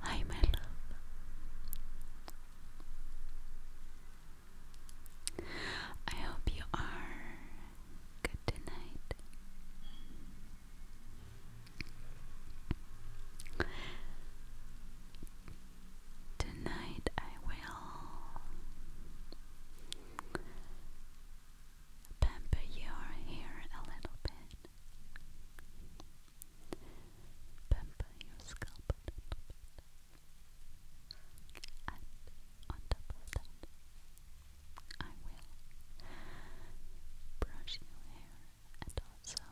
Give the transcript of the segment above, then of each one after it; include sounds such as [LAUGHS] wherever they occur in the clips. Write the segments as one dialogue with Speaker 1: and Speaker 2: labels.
Speaker 1: Hi, my love. I hope you are good tonight. Tonight I will pamper your hair a little bit. Pamper your scalp And on top of that, I will brush your hair and also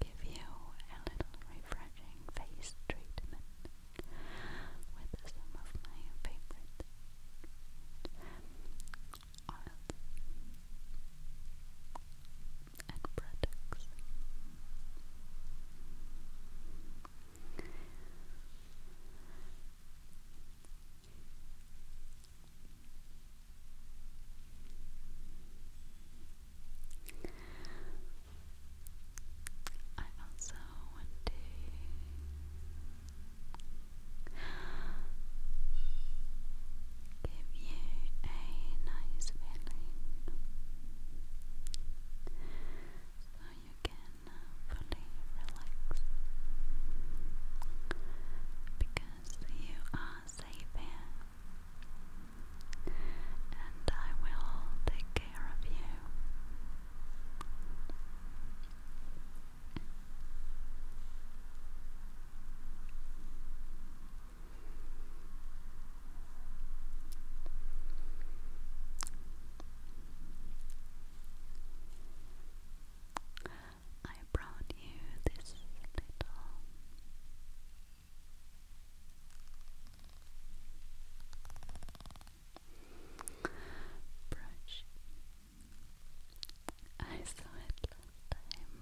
Speaker 1: give you a little refreshing face treatment with some of my favorite oils and products. I also want to give you a nice feeling so you can fully relax because you are safe here and I will take care of you. I brought you this little brush. I saw it last time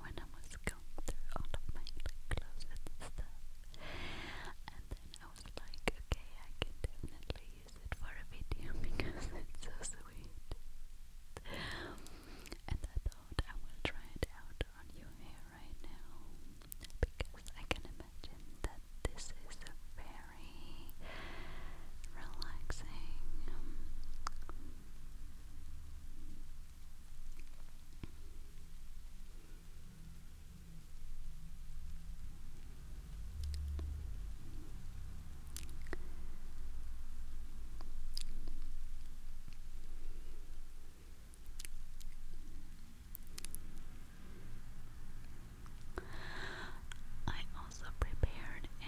Speaker 1: when I was going through all of my closet stuff, and then I was like, okay, I can definitely use it for a video [LAUGHS] because it's so sweet and I thought I will try it out on your hair right now because I can imagine that this is very relaxing I also prepared a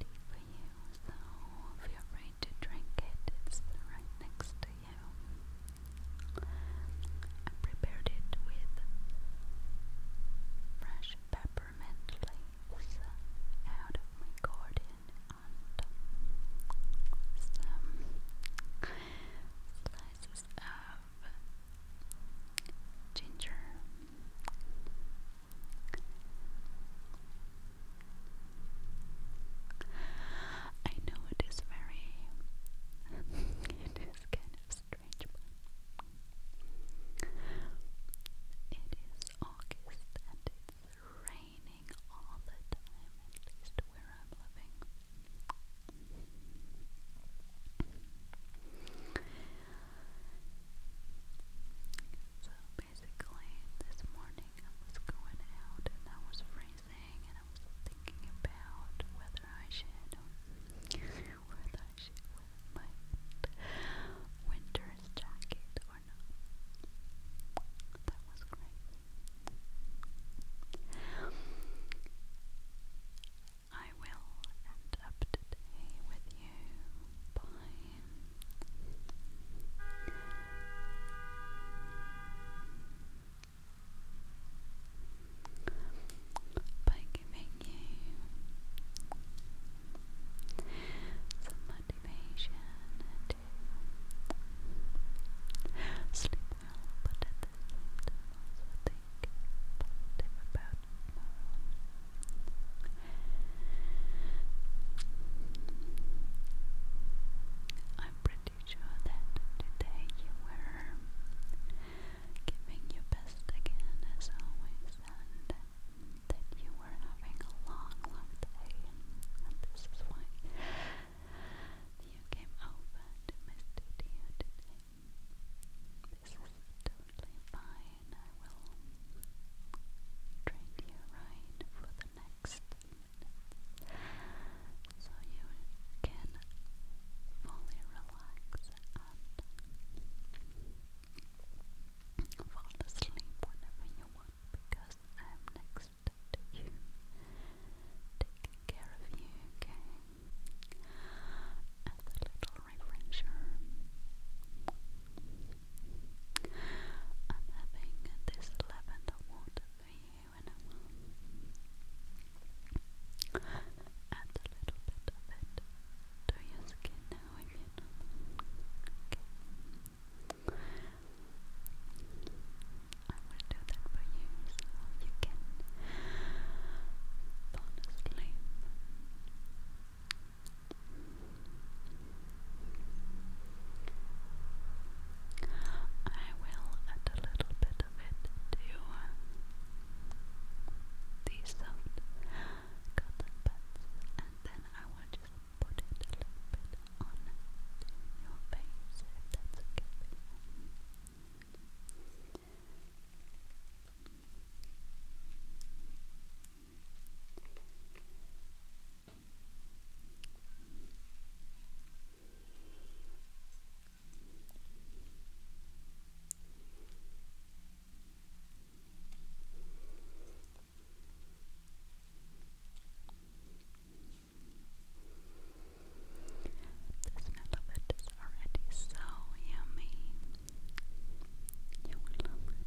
Speaker 1: tea for you, so feel free to drink it. It's right next to you. I prepared it with fresh peppermint flavor out of my garden and some
Speaker 2: slices of ginger. I know it is very [LAUGHS] it is kind of strange it is August and it's raining raining all the time, at least where I'm living. So basically, this morning I was going out and I was freezing and I was thinking about whether I should, whether I should wear my winter first That was great. I will end up today with you by by giving you motivation to sleep well, but at the same time also think positive about I'm pretty sure that today you were giving your best again as always that you were having a long, long day, and this is why you came over to my studio today. This is totally fine. I will treat you right for the next so you can fully relax and fall asleep whenever you want because I'm next to you, taking care of you, okay? As a little refresher, I'm having this lavender water for you in a little bit of it to your skin now Okay. I will do that for you so you can fall I will add a little bit of it to uh, these soft cotton pads and then I will just put it a little bit on your face if that's okay the smell of it is already so yummy. You will love it.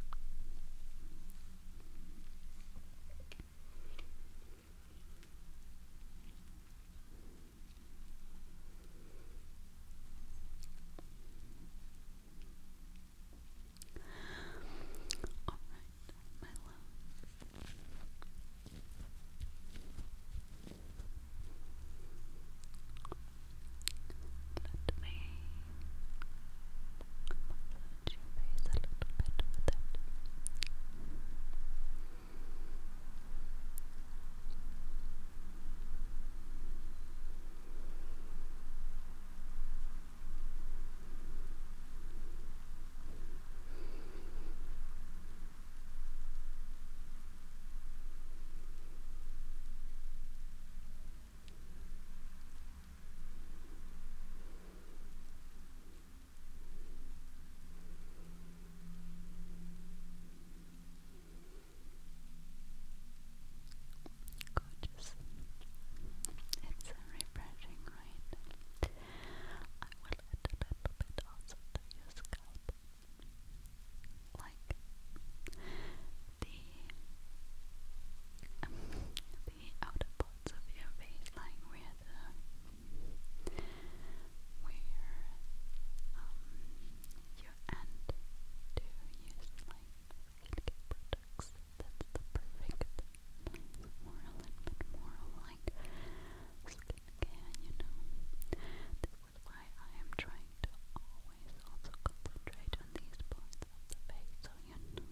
Speaker 2: All right, my love. Let me massage your face a little bit with it. Gorgeous. It's a refreshing right? I will add a little bit also to your scalp. Like the um, the outer parts of your face, like where the where um your end to use like skincare products. That's the perfect, nice, more a little bit more like skincare, you know. This is why I am trying to always also concentrate on these parts of the face so you forget them.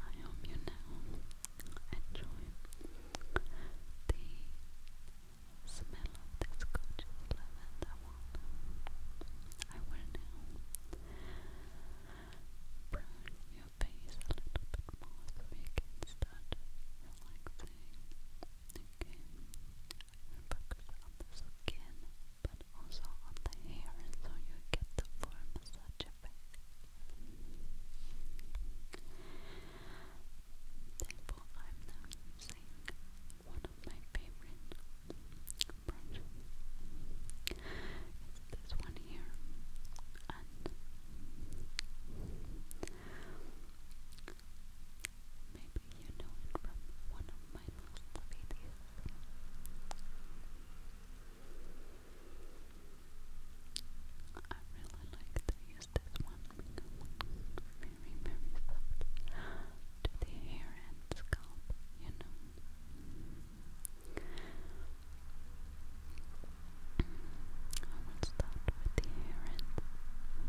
Speaker 2: I hope you now enjoy the smell of this gorgeous lavender I will now brown your face a little bit more so you can start relaxing. Okay, I focus on the skin but also on the hair so you get the full massage effect thankful I'm using one of my favorite brushes. It's this one here. And maybe you know it from one of my last videos. I really like to use this one very, very softly to the hair and scalp, you know. I will start with the hair and Start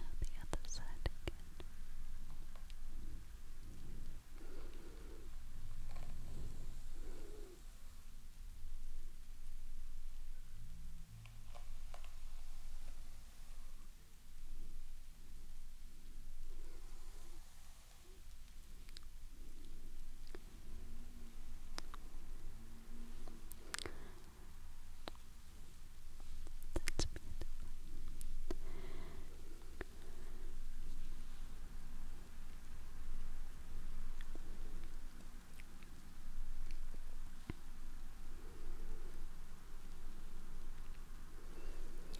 Speaker 2: Now the other side again. That's beautiful.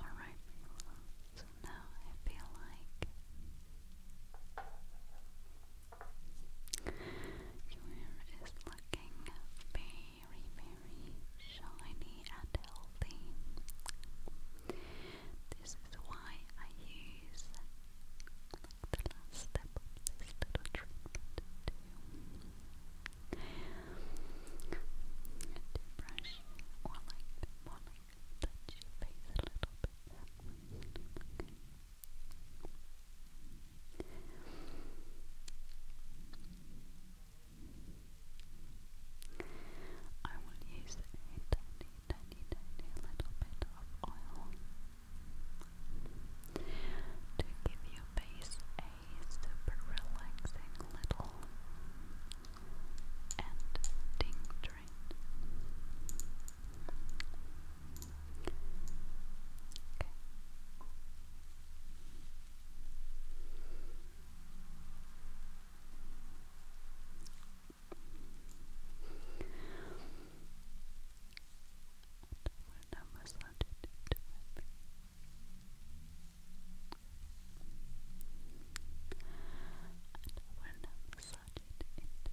Speaker 2: Alright, my love. So now I feel like your hair is looking very, very shiny and healthy. This is why I use the last step of this little treatment to to brush or like touch your face a little bit. I will use a tiny, tiny, tiny little bit of oil to give your face a super relaxing little and tincturing okay when I massage it into my face. And when I massage it into my face.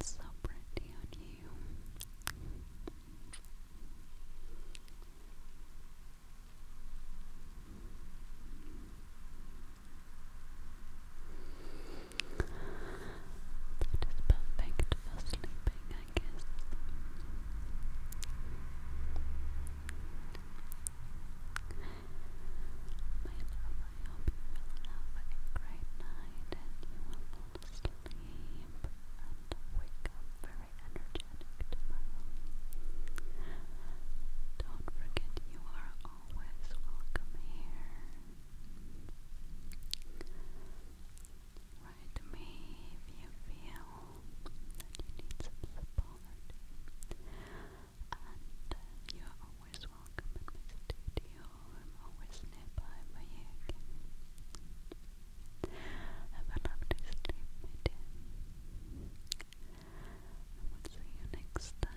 Speaker 2: That's so pretty on you. That is perfect for sleeping I guess. you have a great night and you will fall and wake up very energetic Don't forget you are always welcome here. Alright, maybe you feel that you need some support. And uh, you're always welcome in my studio. I'm always nearby for you Have a lovely sleep, my dear. I will see you next time.